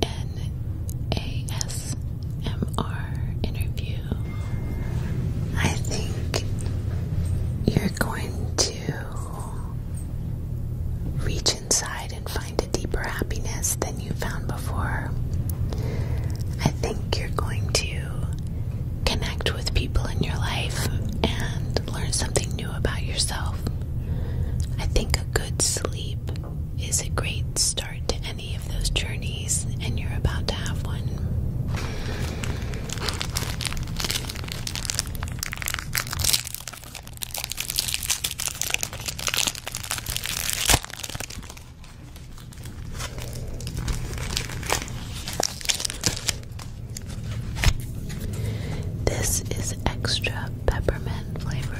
an interview, I think you're going to reach inside and find a deeper happiness than you found before. I think you're going to connect with people in your life and learn something new about yourself. I think a good sleep is a great start to any of those journeys, and you're about to have one. This is extra peppermint flavored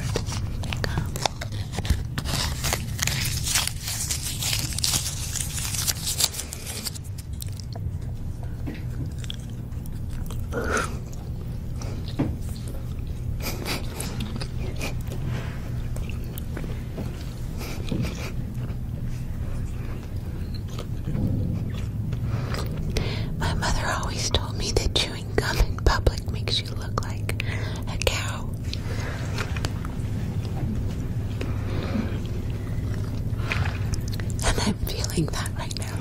My mother always told me that chewing chewing public makes you look like a cow. And I'm feeling that right now.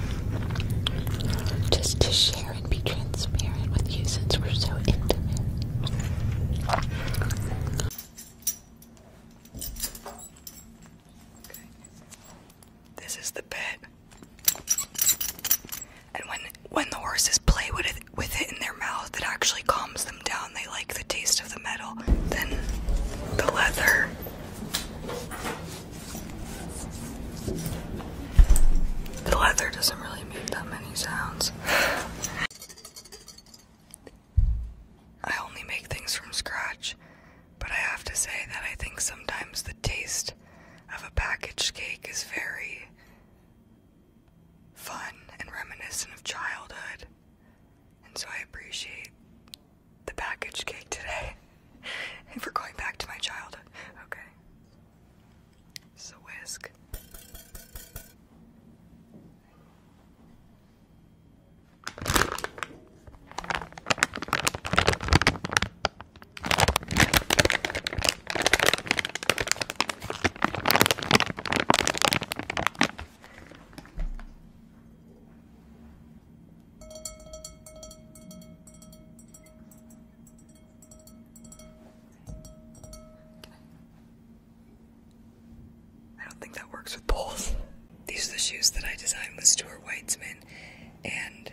Just to share and be transparent with you since we're so intimate. Okay. This is the bit. And when when the horses play with it with it in their mouth, it actually calms them down. They like the taste of the metal. Then the leather. The leather doesn't really make that many sounds. I only make things from scratch. But I have to say that I think sometimes the taste of a packaged cake is very fun and reminiscent of childhood. And so I appreciate the packaged cake today. and for going back to my childhood. Okay. So whisk. I don't think that works with poles. These are the shoes that I designed with Stuart Weitzman, and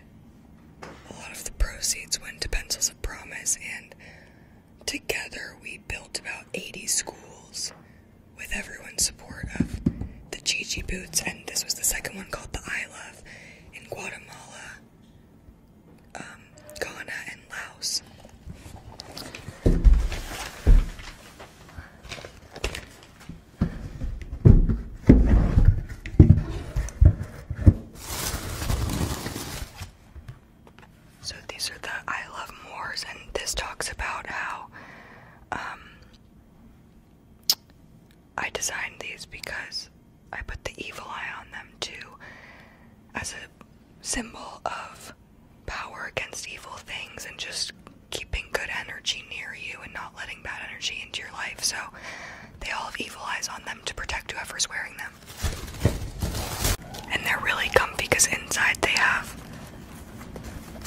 a lot of the proceeds went to Pencils of Promise, and together we built about 80 schools with everyone's support of the Gigi boots, and this was the second one called the I Love in Guatemala, um, Ghana, and Laos. So these are the I Love Moors, and this talks about how um, I designed these because I put the evil eye on them too, as a symbol of power against evil things and just keeping good energy near you and not letting bad energy into your life. So they all have evil eyes on them to protect whoever's wearing them. And they're really comfy because inside they have.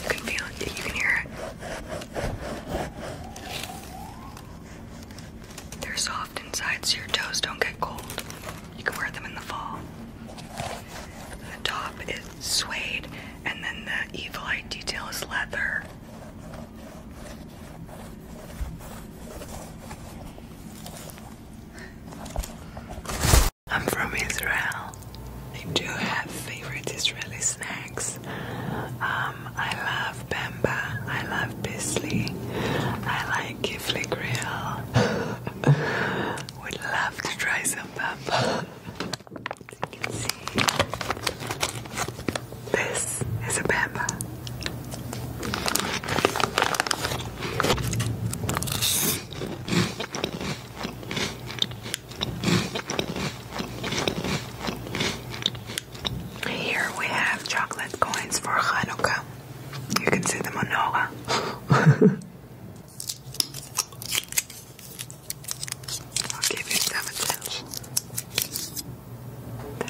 You can feel it, you can hear it. They're soft inside so your toes don't get cold. You can wear them in the fall. The top is suede, and then the evil eye detail is leather. I'm from Israel. I do have favorite Israeli snacks. Um, I love bamba, I love Bisley, I like Kifli Grill. Would love to try some bamba. As you can see, this is a Bamba. Here we have chocolate coins for Hanukkah. You can see the menorah. I'll give you seven cents.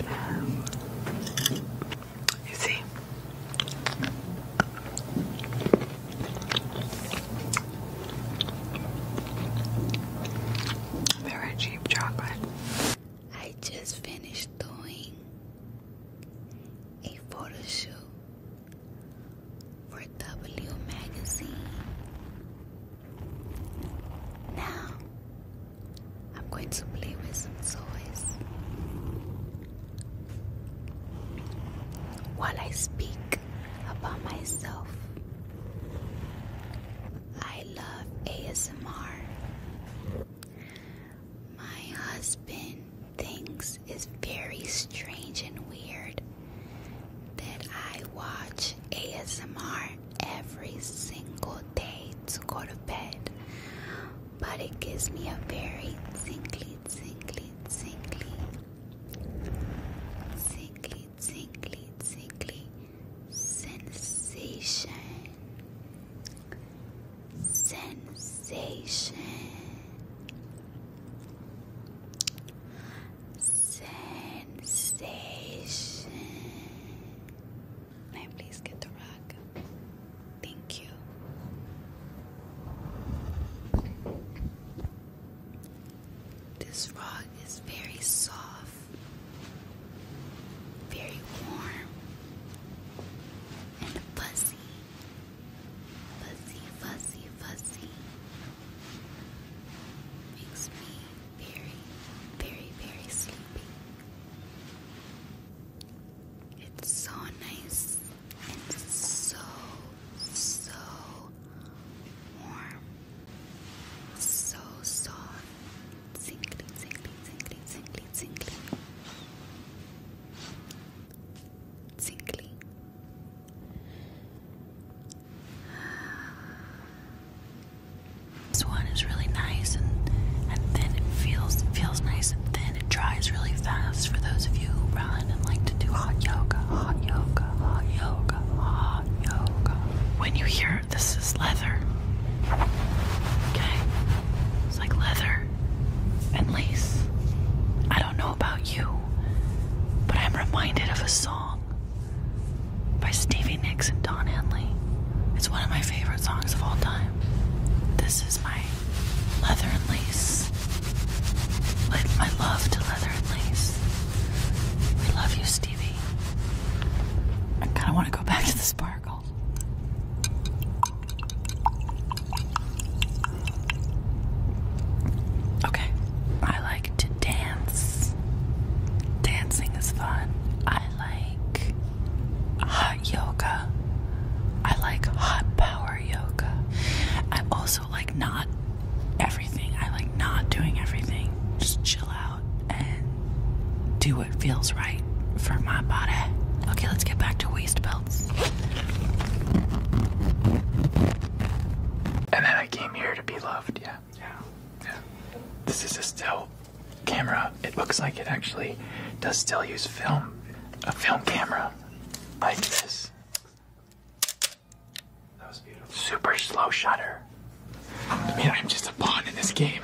Um, you see? Very cheap chocolate. I just finished doing a photo shoot for W Magazine. Now, I'm going to play with some toys. While I speak about myself, I love ASMR. My husband thinks Netflix is very strange and weird that I watch ASMR every single day to go to bed, but it gives me a very tingly, tingly, tingly, tingly, tingly, tingly sensation sensation, sensation. May I please get the rock? Thank you. This rug is very soft, very warm, and fuzzy. Fuzzy, fuzzy, fuzzy makes me very, very, very sleepy. It's so nice and so, so warm, so soft, tingly, tingly, tingly, tingly, tingly. This one is really nice and and thin. It feels feels nice and thin. It dries really fast for those of you who run and like to do hot yoga, hot yoga, hot yoga, hot yoga. When you hear this is leather. Okay. It's like leather and lace. I don't know about you, but I'm reminded of a song by Stevie Nicks and Don Henley. It's one of my favorite songs of all time. This is my leather and lace. Like love to leather and lace. We love you, Stevie. I kind of want to go back to the sparkle. Okay, I like to dance. Dancing is fun. I like hot yoga. I like hot power yoga. I also like not everything. I like not doing everything. Just chill out and do it what feels right for my body. Okay, let's get back to waist belts. And then I came here to be loved, yeah. Yeah. Yeah. This is a still camera. It looks like it actually does still use film. A film camera like this. That was beautiful. Super slow shutter. Man, I'm just a pawn in this game.